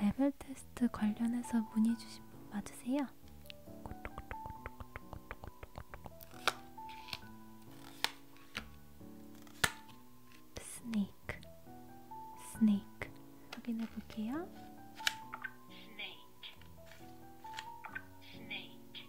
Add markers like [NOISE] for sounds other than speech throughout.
레벨 테스트 관련해서 문의 주신 분 맞으세요? 스네이크 스네이크 확인해 볼게요. 스네이크 스네이크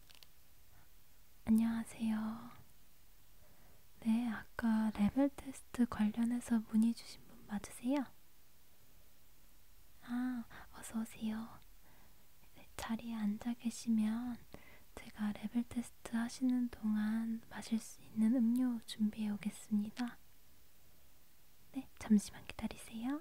안녕하세요. 네, 아까 레벨 테스트 관련해서 문의 주신 분 맞으세요? 아, 어서오세요. 네, 자리에 앉아 계시면 제가 레벨 테스트 하시는 동안 마실 수 있는 음료 준비해 오겠습니다. 네, 잠시만 기다리세요.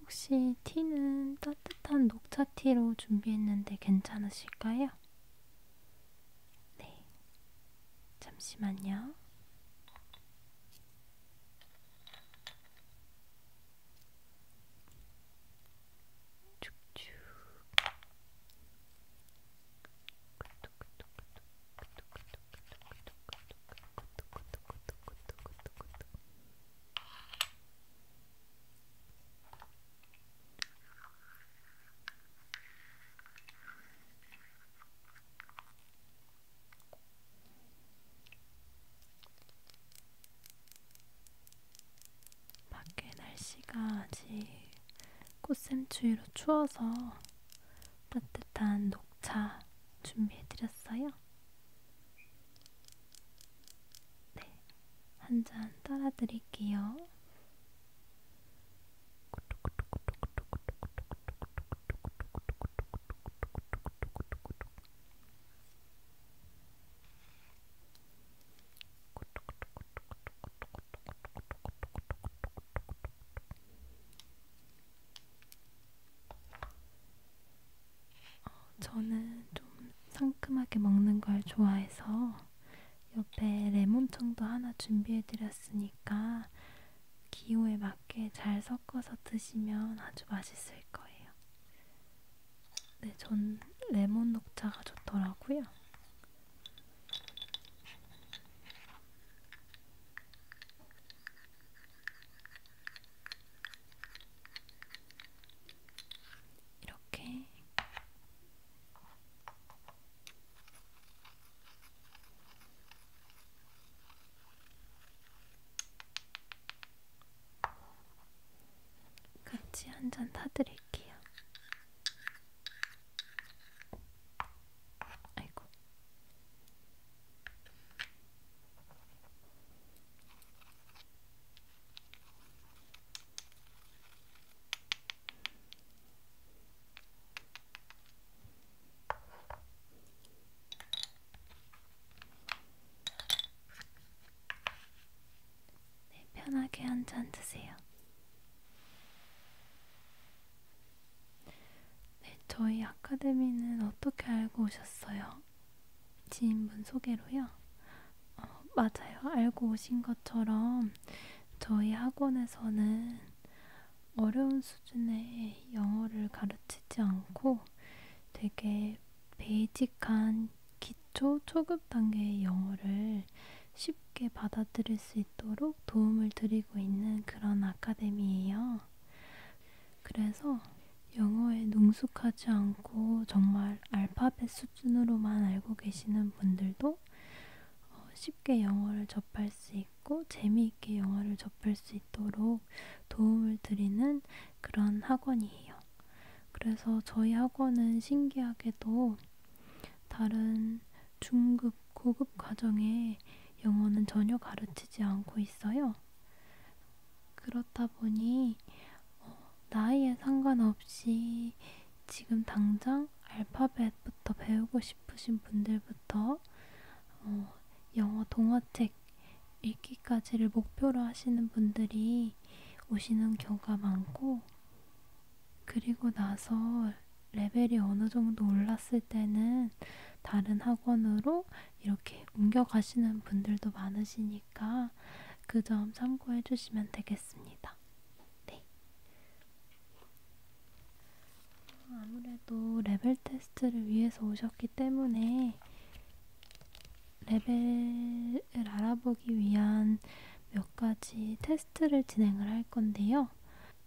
혹시 티는 따뜻한 녹차티로 준비했는데 괜찮으실까요? 네. 잠시만요. 쭉쭉. 네, 밖에 날씨가 아직 꽃샘추위로 추워서 따뜻한 녹차 준비해드렸어요. 네, 한 잔 따라 드릴게요. 어, 저는 좀 상큼하게 먹는 걸 좋아해서 옆에 레몬청도 하나 준비해드렸으니까 기호에 맞게 잘 섞어서 드시면 아주 맛있을 거예요. 네, 전 레몬 녹차가 좋더라고요. 이렇게 같이 한잔 타드릴게요. 아이고. 네, 편하게 한 잔 드세요. 네, 저희 아카데미는 어떻게 알고 오셨어요? 지인분 소개로요? 어, 맞아요. 알고 오신 것처럼 저희 학원에서는 어려운 수준의 영어를 가르치지 않고 되게 베이직한 기초 초급 단계의 영어를 쉽게 받아들일 수 있도록 도움을 드리고 있는 그런 아카데미예요. 그래서 영어에 능숙하지 않고 정말 알파벳 수준으로만 알고 계시는 분들도 어, 쉽게 영어를 접할 수 있고 재미있게 영어를 접할 수 있도록 도움을 드리는 그런 학원이에요. 그래서 저희 학원은 신기하게도 다른 중급, 고급 과정에 영어는 전혀 가르치지 않고 있어요. 그렇다 보니 어, 나이에 상관없이 지금 당장 알파벳부터 배우고 싶으신 분들부터 어, 영어 동화책 읽기까지를 목표로 하시는 분들이 오시는 경우가 많고 그리고 나서 레벨이 어느 정도 올랐을 때는 다른 학원으로 이렇게 옮겨가시는 분들도 많으시니까 그 점 참고해 주시면 되겠습니다. 네. 아무래도 레벨 테스트를 위해서 오셨기 때문에 레벨을 알아보기 위한 몇 가지 테스트를 진행을 할 건데요.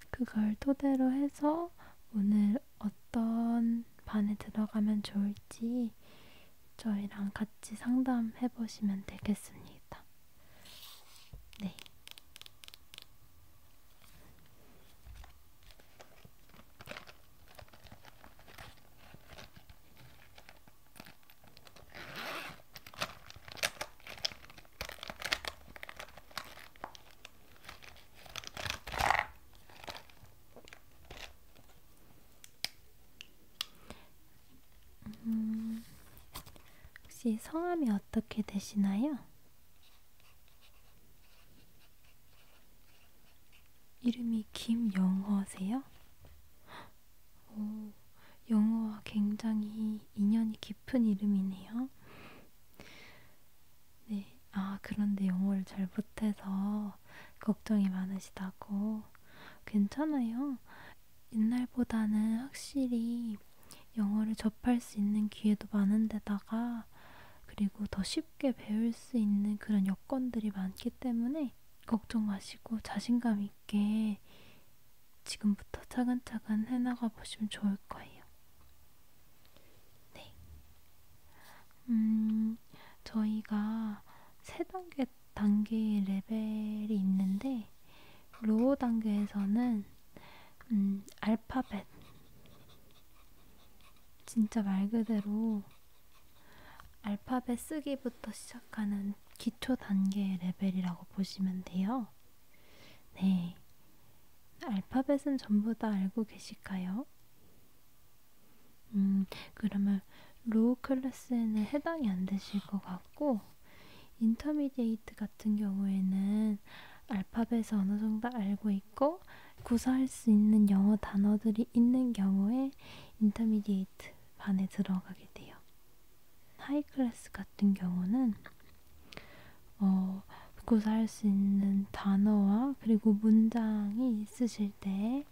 그걸 토대로 해서 오늘 어떤 반에 들어가면 좋을지 저희랑 같이 상담해 보시면 되겠습니다. 네. 음, 혹시 성함이 어떻게 되시나요? 이름이 김영화세요? 오, 영어와 굉장히 인연이 깊은 이름이네요. 네, 아, 그런데 영어를 잘 못해서 걱정이 많으시다고. 괜찮아요. 옛날보다는 확실히 영어를 접할 수 있는 기회도 많은데다가 그리고 더 쉽게 배울 수 있는 그런 여건들이 많기 때문에 걱정 마시고 자신감 있게 지금부터 차근차근 해나가 보시면 좋을 거예요. 네. 음, 저희가 세 단계 단계 레벨이 있는데 로우 단계에서는 음, 알파벳. 진짜 말 그대로 알파벳 쓰기부터 시작하는 기초 단계 레벨이라고 보시면 돼요. 네. 알파벳은 전부 다 알고 계실까요? 음, 그러면 로우 클래스에는 해당이 안 되실 것 같고, 인터미디에이트 같은 경우에는 알파벳을 어느 정도 알고 있고 구사할 수 있는 영어 단어들이 있는 경우에 인터미디에이트 반에 들어가게 돼요. 하이 클래스 같은 경우는 어, 구사할 수 있는 단어와 그리고 문장이 있으실 때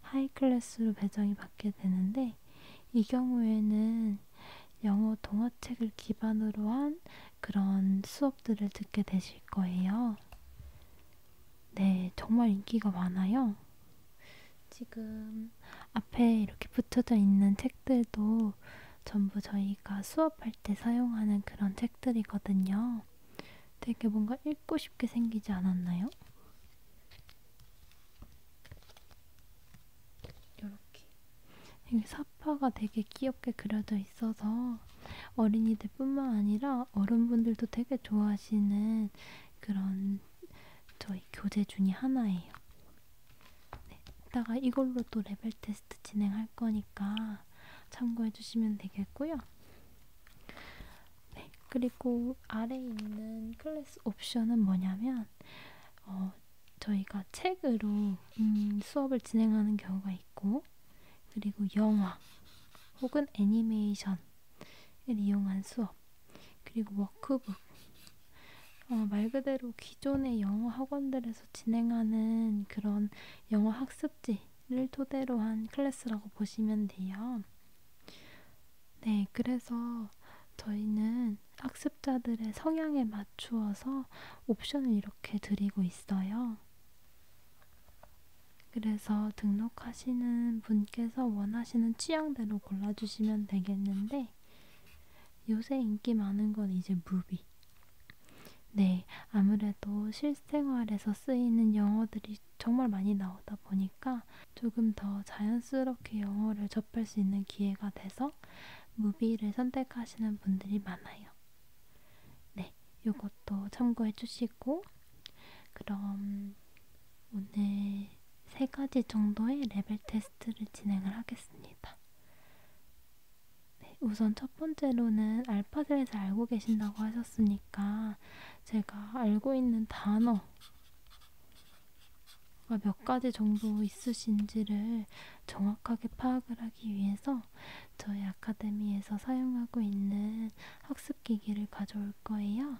하이 클래스로 배정이 받게 되는데 이 경우에는 영어 동화책을 기반으로 한 그런 수업들을 듣게 되실 거예요. 네, 정말 인기가 많아요. 지금 앞에 이렇게 붙여져 있는 책들도 전부 저희가 수업할 때 사용하는 그런 책들이거든요. 되게 뭔가 읽고 싶게 생기지 않았나요? 이렇게 여기 사파가 되게 귀엽게 그려져 있어서 어린이들뿐만 아니라 어른분들도 되게 좋아하시는 그런 저희 교재 중에 하나예요. 네, 이따가 이걸로 또 레벨 테스트 진행할 거니까 참고해 주시면 되겠고요. 네, 그리고 아래 있는 클래스 옵션은 뭐냐면 어, 저희가 책으로 음, 수업을 진행하는 경우가 있고, 그리고 영화 혹은 애니메이션을 이용한 수업, 그리고 워크북. 어, 말 그대로 기존의 영어 학원들에서 진행하는 그런 영어 학습지를 토대로 한 클래스라고 보시면 돼요. 네, 그래서 저희는 학습자들의 성향에 맞추어서 옵션을 이렇게 드리고 있어요. 그래서 등록하시는 분께서 원하시는 취향대로 골라주시면 되겠는데 요새 인기 많은 건 이제 무비. 네, 아무래도 실생활에서 쓰이는 영어들이 정말 많이 나오다 보니까 조금 더 자연스럽게 영어를 접할 수 있는 기회가 돼서 해서 무비를 선택하시는 분들이 많아요. 네, 요것도 참고해 주시고 그럼 오늘 세 가지 정도의 레벨 테스트를 진행을 하겠습니다. 네, 우선 첫 번째로는 알파벳을 알고 계신다고 하셨으니까 제가 알고 있는 단어 몇 가지 정도 있으신지를 정확하게 파악을 하기 위해서 저희 아카데미에서 사용하고 있는 학습기기를 가져올 거예요.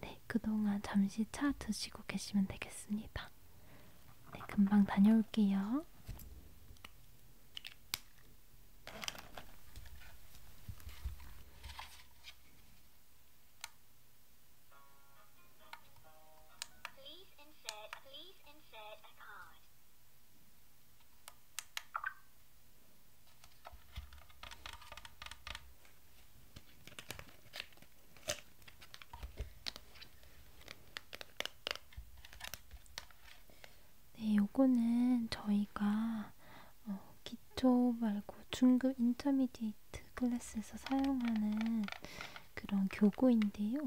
네, 그동안 잠시 차 드시고 계시면 되겠습니다. 네, 금방 다녀올게요. Please insert, please insert. Insert a card. 네, 요거는 저희가 어, 기초 말고 중급 인터미디에이트 클래스에서 사용하는 그런 교구인데요.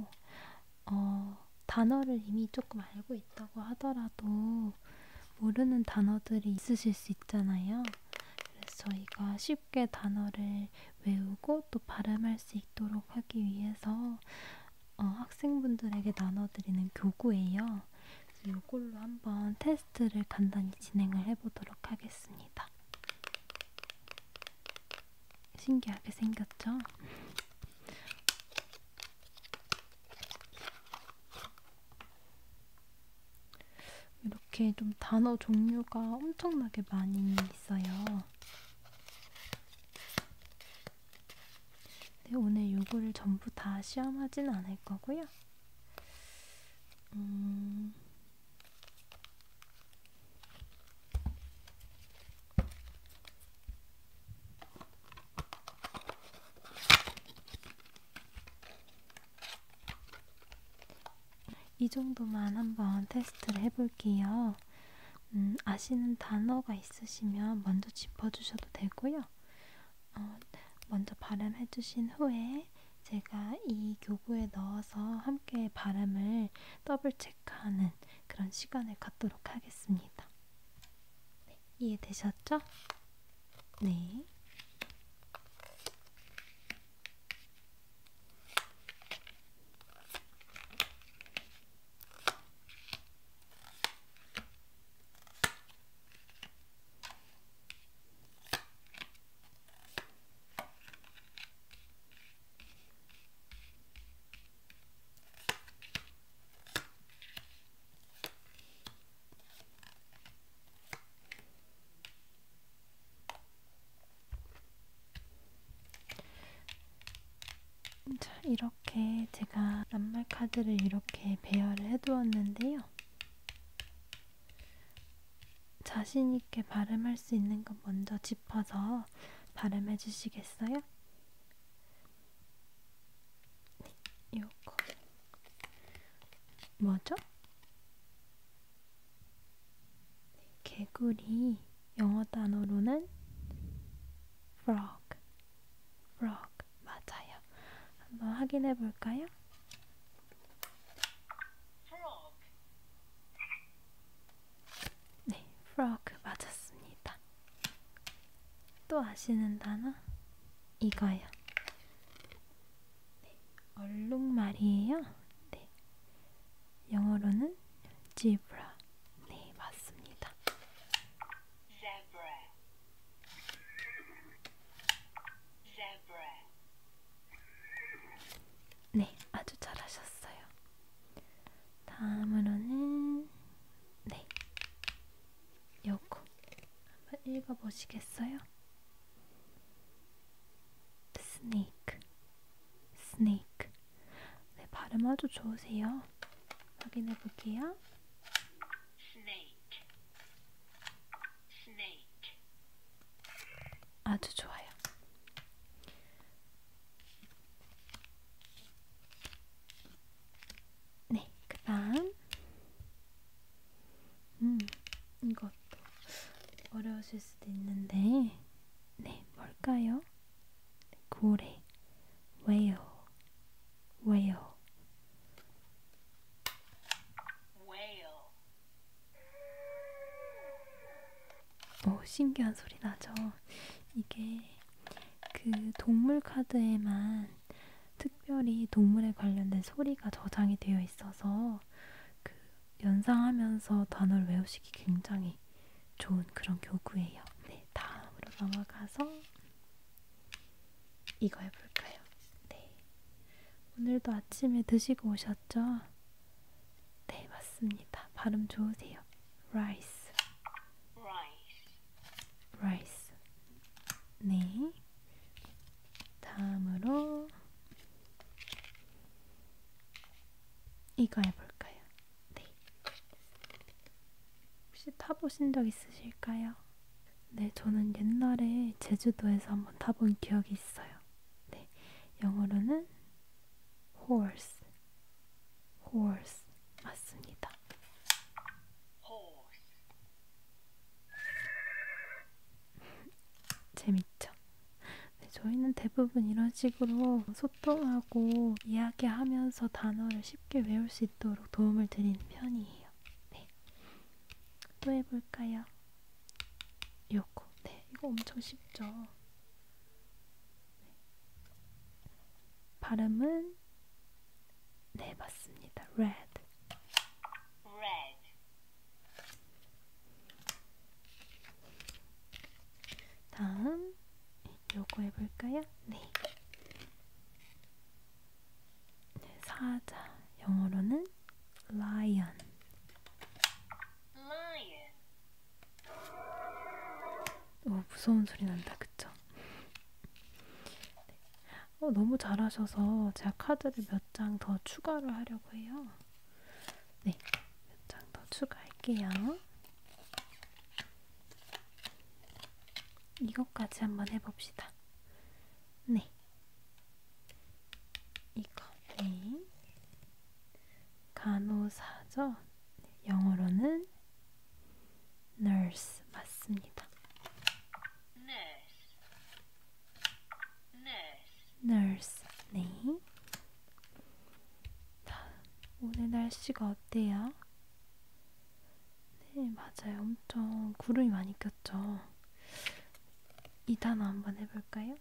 어, 단어를 이미 조금 알고 있다고 하더라도 모르는 단어들이 있으실 수 있잖아요. 그래서 저희가 쉽게 단어를 외우고 또 발음할 수 있도록 하기 위해서 어, 학생분들에게 나눠드리는 교구예요. 그래서 이걸로 한번 테스트를 간단히 진행을 해보도록 하겠습니다. 신기하게 생겼죠? 이렇게 좀 단어 종류가 엄청나게 많이 있어요. 네, 오늘 요거를 전부 다 시험하진 않을 거고요. 음... 이 정도만 한번 테스트를 해볼게요. 음, 아시는 단어가 있으시면 먼저 짚어주셔도 되고요. 어, 먼저 발음해주신 후에 제가 이 교구에 넣어서 함께 발음을 더블 체크하는 그런 시간을 갖도록 하겠습니다. 네, 이해되셨죠? 네. 자, 이렇게 제가 낱말 카드를 이렇게 배열을 해두었는데요. 자신있게 발음할 수 있는 것 먼저 짚어서 발음해 주시겠어요? 네, 요거 뭐죠? 네, 개구리 영어 단어로는 frog, frog 맞아요. 한번 확인해 볼까요? frog, 네, frog 맞았습니다. 또 아시는 단어? 이거요. 네, 얼룩말이에요. 네, 영어로는 zebra. 네, 맞습니다. zebra, zebra. 네, 아주 잘하셨어요. 다음으로는 네 요거 한번 읽어보시겠어요? 스네이크 스네이크 네 발음 아주 좋으세요 확인해 볼게요 스네이크 스네이크 아주 좋아요 네, 그 다음 음, 이것도 어려우실 수도 있는데 네, 뭘까요? 고래, 왜요? 왜요? 오, 어, 신기한 소리 나죠. 이게 그 동물 카드에만 특별히 동물에 관련된 소리가 저장이 되어 있어서 그 연상하면서 단어를 외우시기 굉장히 좋은 그런 교구예요. 네, 다음으로 넘어가서 이거 해볼까요? 네, 오늘도 아침에 드시고 오셨죠? 네, 맞습니다. 발음 좋으세요. 뭐예요? rice. rice. rice. 네. 다음으로 이거 해볼까요? 네. 혹시 타보신 적 있으실까요? 네, 저는 옛날에 제주도에서 한번 타본 기억이 있어요. 네, 영어로는 horse. horse 맞습니다. horse 재밌죠? 네, 저희는 대부분 이런 식으로 소통하고 이야기하면서 단어를 쉽게 외울 수 있도록 도움을 드리는 편이에요. 네. 또 해볼까요? 요거. 네, 이거 엄청 쉽죠? 발음은 네 맞습니다. red. red. 다음 요거 해볼까요? 네. 네 사자 영어로는 lion. lion. 오, 무서운 소리 난다, 그쵸? 네. 어, 너무 잘하셔서 제가 카드를 몇 장 더 추가를 하려고 해요. 네, 몇 장 더 추가할게요. 이것까지 한번 해봅시다. 네. 이거, 네. 간호사죠? 영어로는 nurse 맞습니다. nurse, nurse, nurse. 네. 오늘 날씨가 어때요? 네, 맞아요. 엄청 구름이 많이 꼈죠. 이 단어 한번 해볼까요?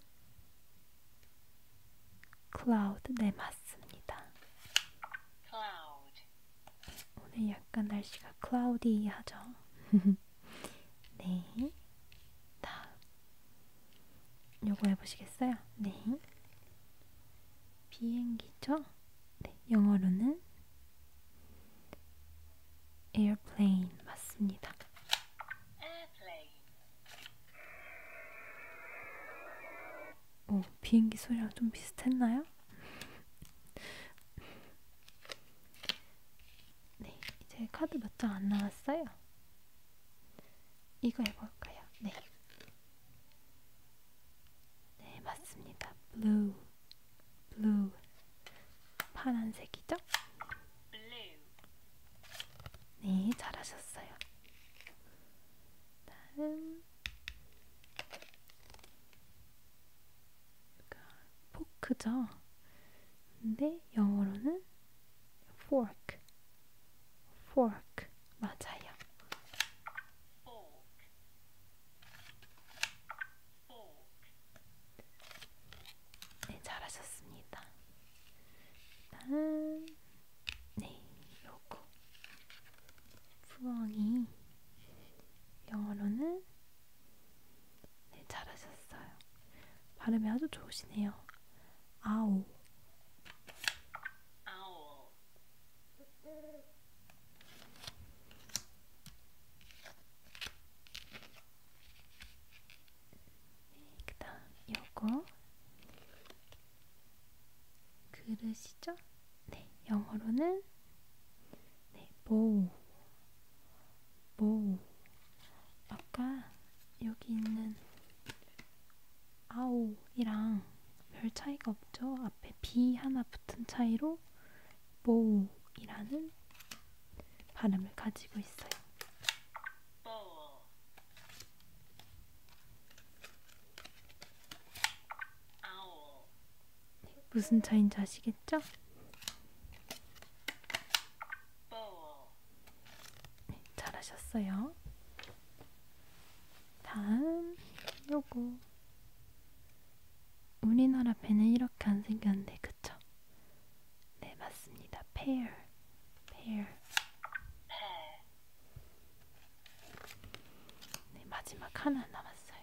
cloud, 네, 맞습니다. cloud. 오늘 약간 날씨가 클라우디하죠. [LAUGHS] 네. 다음. 요거 해보시겠어요? 네. 비행기죠? 네. 영어로는 airplane 맞습니다. airplane. 어, 비행기 소리랑 좀 비슷했나요? 네, 이제 카드 몇 장 안 나왔어요. 이거 해볼까요? 네. 네, 맞습니다. 블루, 블루, 파란색이죠? 네, 잘하셨어요. 다음, 포크죠. 근데 영어로는 fork, fork 맞아요. fork, fork. 네, 잘하셨습니다. 일단 네, 요거 부엉이 영어로는 네, 잘하셨어요. 발음이 아주 좋으시네요. 아오. 아오. 네, 그다음 요거 그릇이죠? 네, 영어로는 네, bowl, bowl. 아까 여기 있는 아오이랑 별 차이가 없죠? 앞에 b 하나 붙은 차이로 bowl이라는 발음을 가지고 있어요. bowl, 무슨 차인지 아시겠죠? 네, 잘하셨어요. 다음 요거 우리나라 배는 이렇게 안 생겼는데 그쵸? 네 맞습니다. 페어 페어 네, 마지막 하나 남았어요.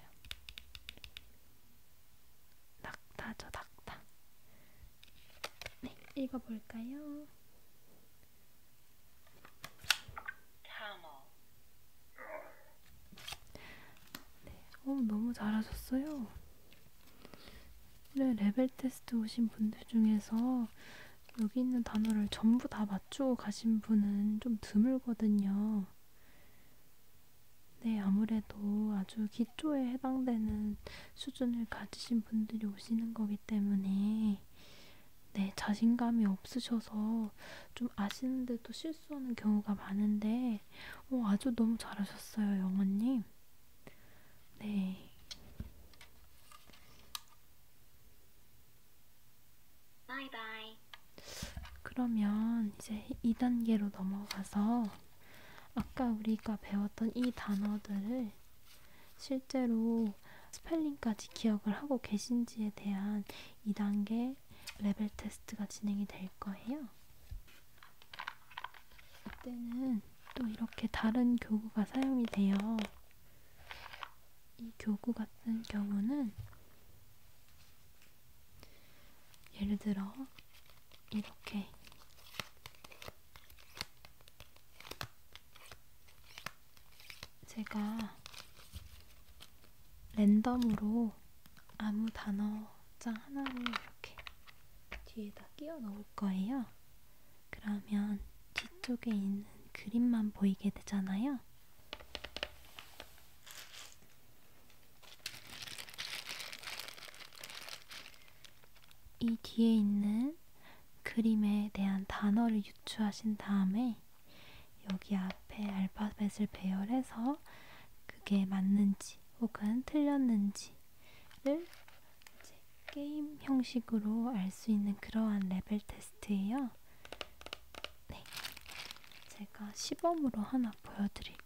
낙타죠, 낙타. 네, 읽어볼까요? 네, 어, 너무 잘하셨어요. 네, 레벨 테스트 오신 분들 중에서 여기 있는 단어를 전부 다 맞, 서쪽 가신 분은 좀 드물거든요. 네, 아무래도 아주 기초에 해당되는 수준을 가지신 분들이 오시는 거기 때문에 네, 자신감이 없으셔서 좀 아시는데도 실수하는 경우가 많은데 오, 어, 아주 너무 잘하셨어요, 영원님. 네. Bye bye. 그러면 이제 2단계로 넘어가서 아까 우리가 배웠던 이 단어들을 실제로 스펠링까지 기억을 하고 계신지에 대한 2단계 레벨 테스트가 진행이 될 거예요. 이때는 또 이렇게 다른 교구가 사용이 돼요. 이 교구 같은 경우는 예를 들어 이렇게 제가 랜덤으로 아무 단어장 하나를 이렇게 뒤에다 끼워 넣을 거예요. 그러면 뒤쪽에 있는 그림만 보이게 되잖아요. 이 뒤에 있는 그림에 대한 단어를 유추하신 다음에 여기 앞에 알파벳을 배열해서 그게 맞는지 혹은 틀렸는지를 게임 형식으로 알 수 있는 그러한 레벨 테스트예요. 네. 제가 시범으로 하나 보여드릴게요.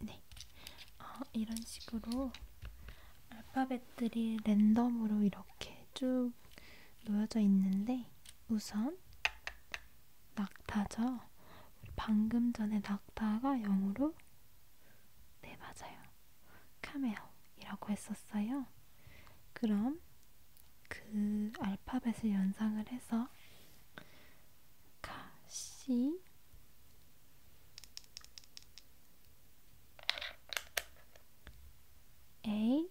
네, 어, 이런 식으로 알파벳들이 랜덤으로 이렇게 쭉 놓여져 있는데 우선 낙타죠. 방금 전에 낙타가 영어로 네 맞아요. 카멜이라고 했었어요. 그럼 그 알파벳을 연상을 해서 카, 시, A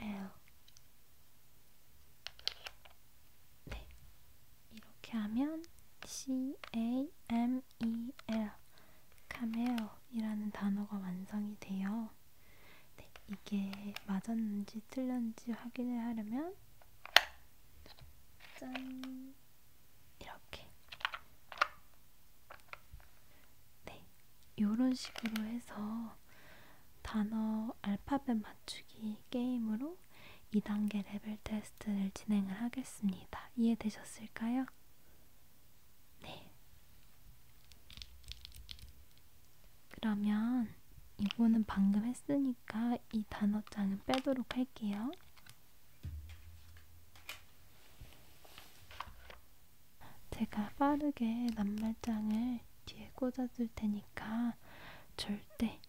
에어. 네. 이렇게 하면 C A M E L 카멜이라는 단어가 완성이 돼요. 네, 이게 맞았는지 틀렸는지 확인을 하려면 짠 이렇게 네 요런 식으로 해서 단어 알파벳 맞추기 게임으로 2단계 레벨 테스트를 진행을 하겠습니다. 이해되셨을까요? 네. 그러면 이거는 방금 했으니까 이 단어장은 빼도록 할게요. 제가 빠르게 낱말장을 뒤에 꽂아줄 테니까 절대,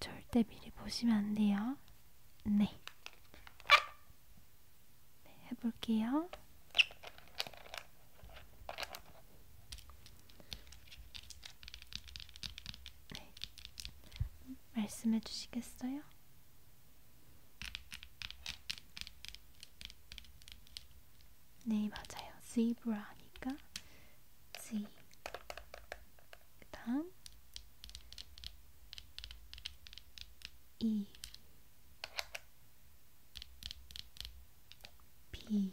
절대 미리 보시면 안 돼요. 네. 네 해볼게요. 네. 말씀해 주시겠어요? 네, 맞아요. zebra니까 z. 그다음 e b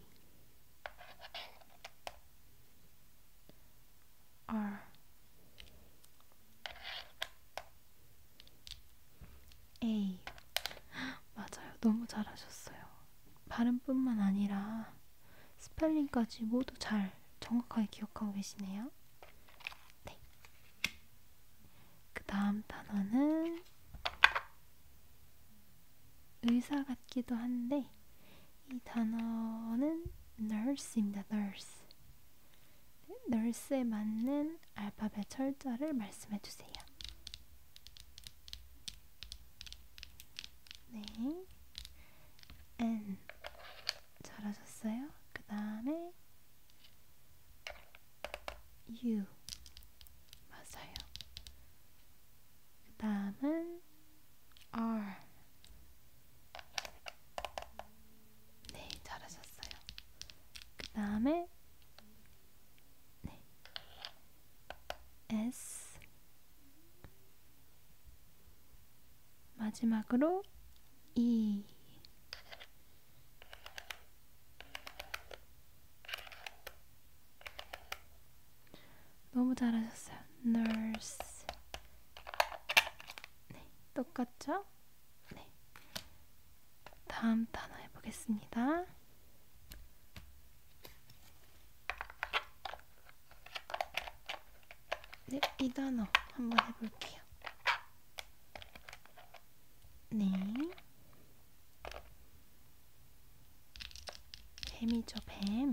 r A 맞아요. 너무 잘하셨어요. 발음뿐만 아니라 스펠링까지 모두 잘 정확하게 기억하고 계시네요. 네. 그 다음 단어는 의사 같기도 한데 이 단어는 nurse입니다. nurse. 네, nurse에 맞는 알파벳 철자를 말씀해 주세요. 네, N 잘하셨어요. 그 다음에 U 맞아요. 그 다음은 R 네, 잘하셨어요. 그 다음에 네, S 마지막으로 E 너무 잘하셨어요. nurse 네, 똑같죠? 네. 다음 단어 해보겠습니다. 네, 이 단어 한번 해볼게요. 네. 뱀이죠, 뱀.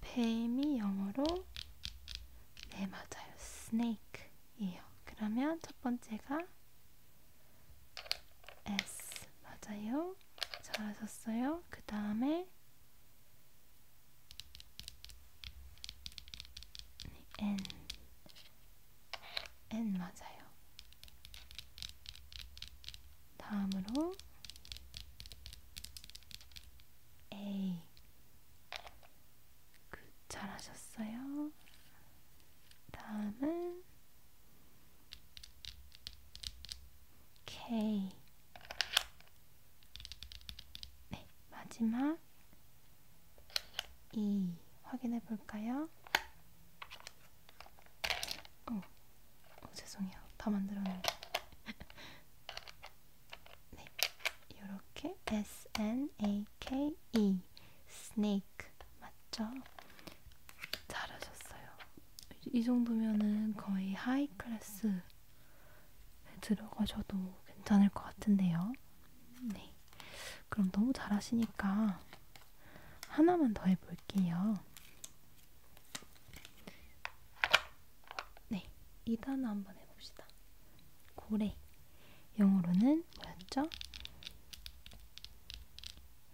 뱀이 영어로 네, 맞아요. 스네이크예요. 그러면 첫 번째가 S 맞아요. 잘하셨어요. 그 다음에 N N 맞아요. 다음으로 A 그 잘하셨어요. 다음은 K 네, 마지막 E 확인해 볼까요? 어, 어 죄송해요. 다 만들었는데. [LAUGHS] 네, 이렇게 S N A K E snake 진짜 잘하셨어요. 이 정도면은 거의 하이 클래스에 들어가셔도 괜찮을 것 같은데요. 네. 그럼 너무 잘하시니까 하나만 더 해볼게요. 네. 2단어 한번 해봅시다. 고래. 영어로는 뭐였죠?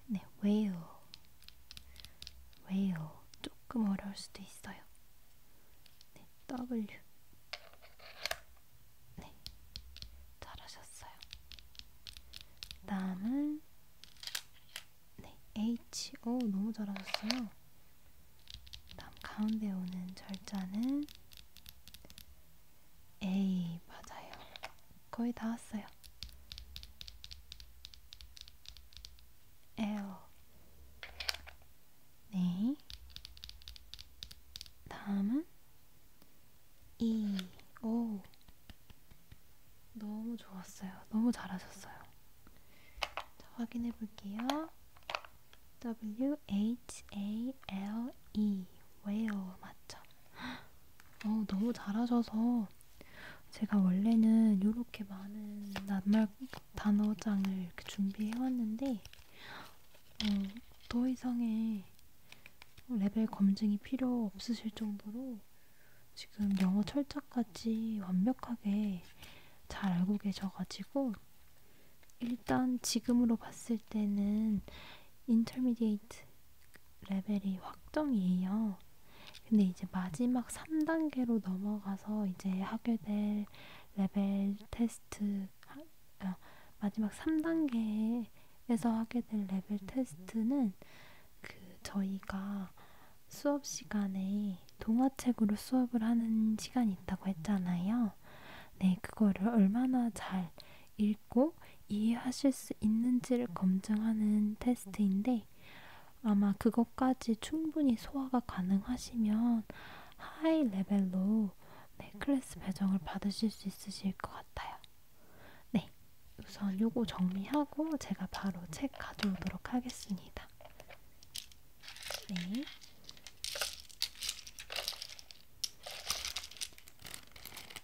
네, 왜요? 왜요? 조금 어려울 수도 있어요. 네, W. 네, 잘하셨어요. 그 다음은 네, H. 오, 너무 잘하셨어요. 그 다음 가운데 오는 절자는 A. 맞아요. 거의 다 왔어요. 에요. 네. 다음은 2, 5. 너무 좋았어요. 너무 잘하셨어요. 자, 확인해 볼게요. W H A L E whale 맞죠? 어, 너무 잘하셔서 제가 원래는 이렇게 많은 낱말 단어장을 이렇게 준비해왔는데 어, 더 이상의 레벨 검증이 필요 없으실 정도로 지금 영어 철자까지 완벽하게 잘 알고 계셔가지고 일단 지금으로 봤을 때는 인터미디에이트 레벨이 확정이에요. 근데 이제 마지막 3단계로 넘어가서 이제 하게 될 레벨 테스트, 아, 마지막 3단계에서 하게 될 레벨 테스트는 그 저희가 수업 시간에 동화책으로 수업을 하는 시간이 있다고 했잖아요. 네, 그거를 얼마나 잘 읽고 이해하실 수 있는지를 검증하는 테스트인데 텐데 아마 그것까지 충분히 소화가 가능하시면 하이 레벨로 네, 클래스 배정을 받으실 수 있으실 것 같아요. 네, 우선 요거 정리하고 제가 바로 책 가져오도록 하겠습니다. 네.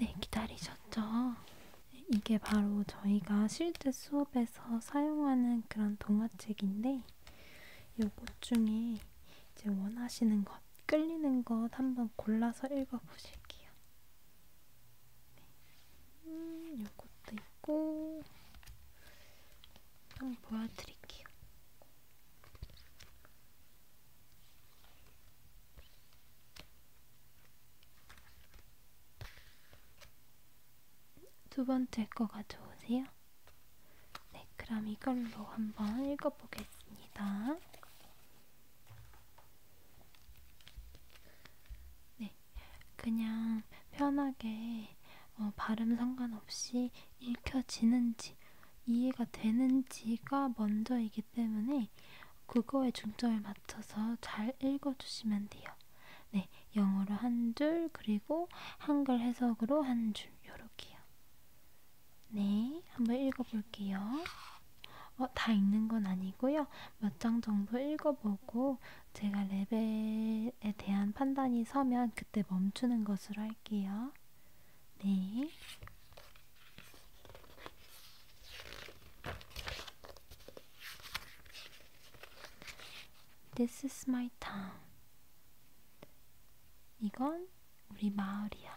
네, 기다리셨죠? 이게 바로 저희가 실제 수업에서 사용하는 그런 동화책인데 요것 중에 이제 원하시는 것, 끌리는 것 한번 골라서 읽어보실게요. 음, 요것도 있고 한번 보여드릴게요. 두 번째 거 가져오세요. 네, 그럼 이걸로 한번 읽어보겠습니다. 네, 그냥 편하게 어, 발음 상관없이 읽혀지는지 이해가 되는지가 먼저이기 때문에 그거에 중점을 맞춰서 잘 읽어주시면 돼요. 네, 영어로 한 줄, 그리고 한글 해석으로 한 줄, 요렇게요. 네, 한번 읽어볼게요. 어, 다 읽는 건 아니고요. 몇 장 정도 읽어보고 제가 레벨에 대한 판단이 서면 그때 멈추는 것으로 할게요. 네. This is my town. 이건 우리 마을이야.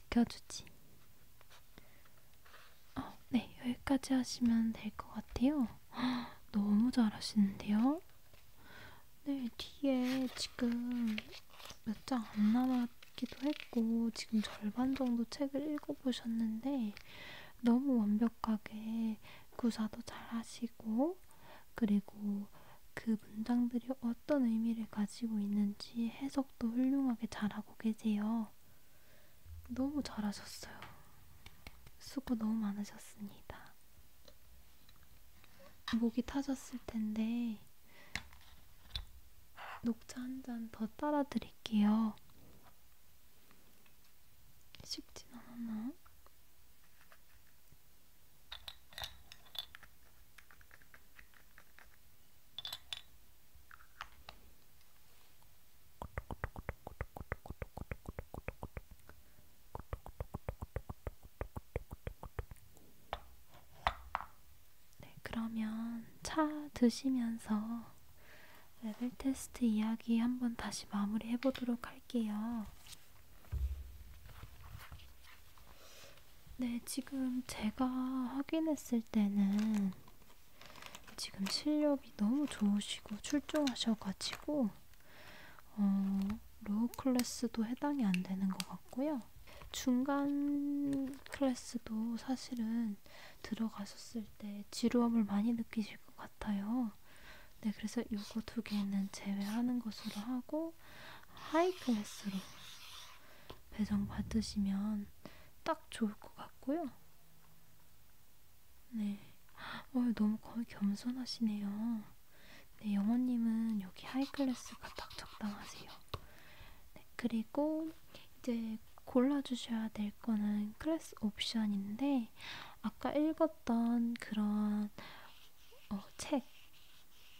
지켜주지. 어, 네, 여기까지 하시면 될 것 같아요. 허, [GASPS] 너무 잘하시는데요? 네, 뒤에 지금 몇 장 안 남았기도 했고, 지금 절반 정도 책을 읽어보셨는데, 너무 완벽하게 구사도 잘 하시고, 그리고 그 문장들이 어떤 의미를 가지고 있는지 해석도 훌륭하게 잘하고 계세요. 너무 잘하셨어요. 수고 너무 많으셨습니다. 목이 타셨을 텐데 녹차 한 잔 더 따라 드릴게요. 식진 않았나? 네, 그러면 차 드시면서 레벨 테스트 이야기 한번 다시 마무리 해보도록 할게요. 네, 지금 제가 확인했을 때는 지금 실력이 너무 좋으시고 출중하셔가지고 어, 로우 클래스도 해당이 안 되는 것 같고요. 중간 클래스도 사실은 들어가셨을 때 지루함을 많이 느끼실 것 같아요. 네, 그래서 이거 두 개는 제외하는 것으로 하고 하이 클래스로 배송 받으시면 딱 좋을 것 같고요. 네, 어, 너무 거의 겸손하시네요. 네, 영원님은 여기 하이클래스가 딱 적당하세요. 네, 그리고 이제 골라주셔야 될 거는 클래스 옵션인데 아까 읽었던 그런 어, 책,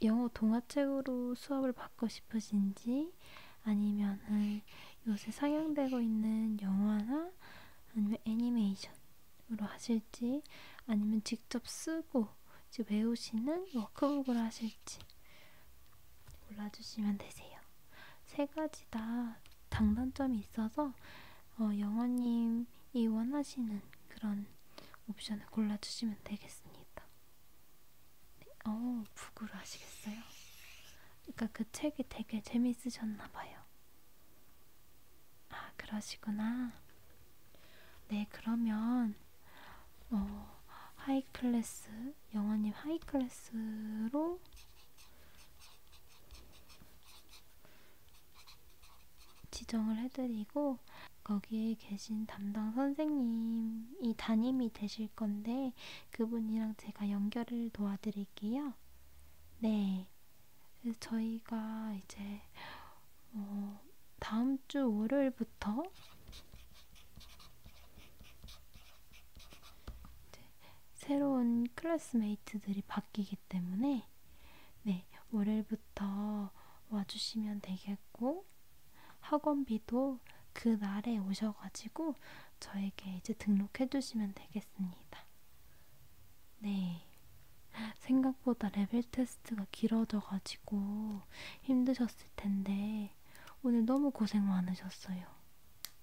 영어 동화책으로 수업을 받고 싶으신지 영화라든지 아니면은 요새 상영되고 있는 영화나 아니면 애니메이션으로 하실지 아니면 직접 쓰고 즉 외우시는 워크북을 하실지 골라주시면 되세요. 세 가지 다 장단점이 있어서 어, 영어님이 원하시는 그런 옵션을 골라주시면 되겠습니다. 어, 북으로 하시겠어요? 그러니까 그 책이 되게 재미있으셨나 봐요. 아, 그러시구나. 네, 그러면 어, 하이 클래스, 영원님 하이 클래스로 지정을 해드리고 거기에 여기 계신 담당 선생님이 담임이 되실 건데 그분이랑 제가 연결을 도와드릴게요. 네. 그래서 저희가 이제 어, 다음 주 월요일부터 이제 새로운 클래스메이트들이 바뀌기 때문에 네 월요일부터 와주시면 되겠고 학원비도 그날에 오셔가지고 저에게 이제 등록해 주시면 되겠습니다. 네. 생각보다 레벨 테스트가 길어져가지고 힘드셨을 텐데 오늘 너무 고생 많으셨어요.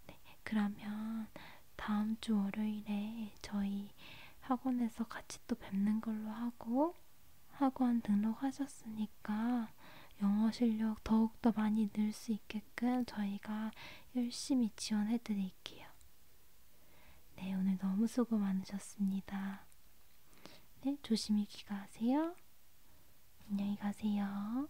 네, 그러면 다음 주 월요일에 저희 학원에서 같이 또 뵙는 걸로 하고 학원 등록하셨으니까 영어 실력 더욱더 많이 늘 수 있게끔 저희가 열심히 지원해 드릴게요. 네, 오늘 너무 수고 많으셨습니다. 네, 조심히 귀가하세요. 안녕히 가세요.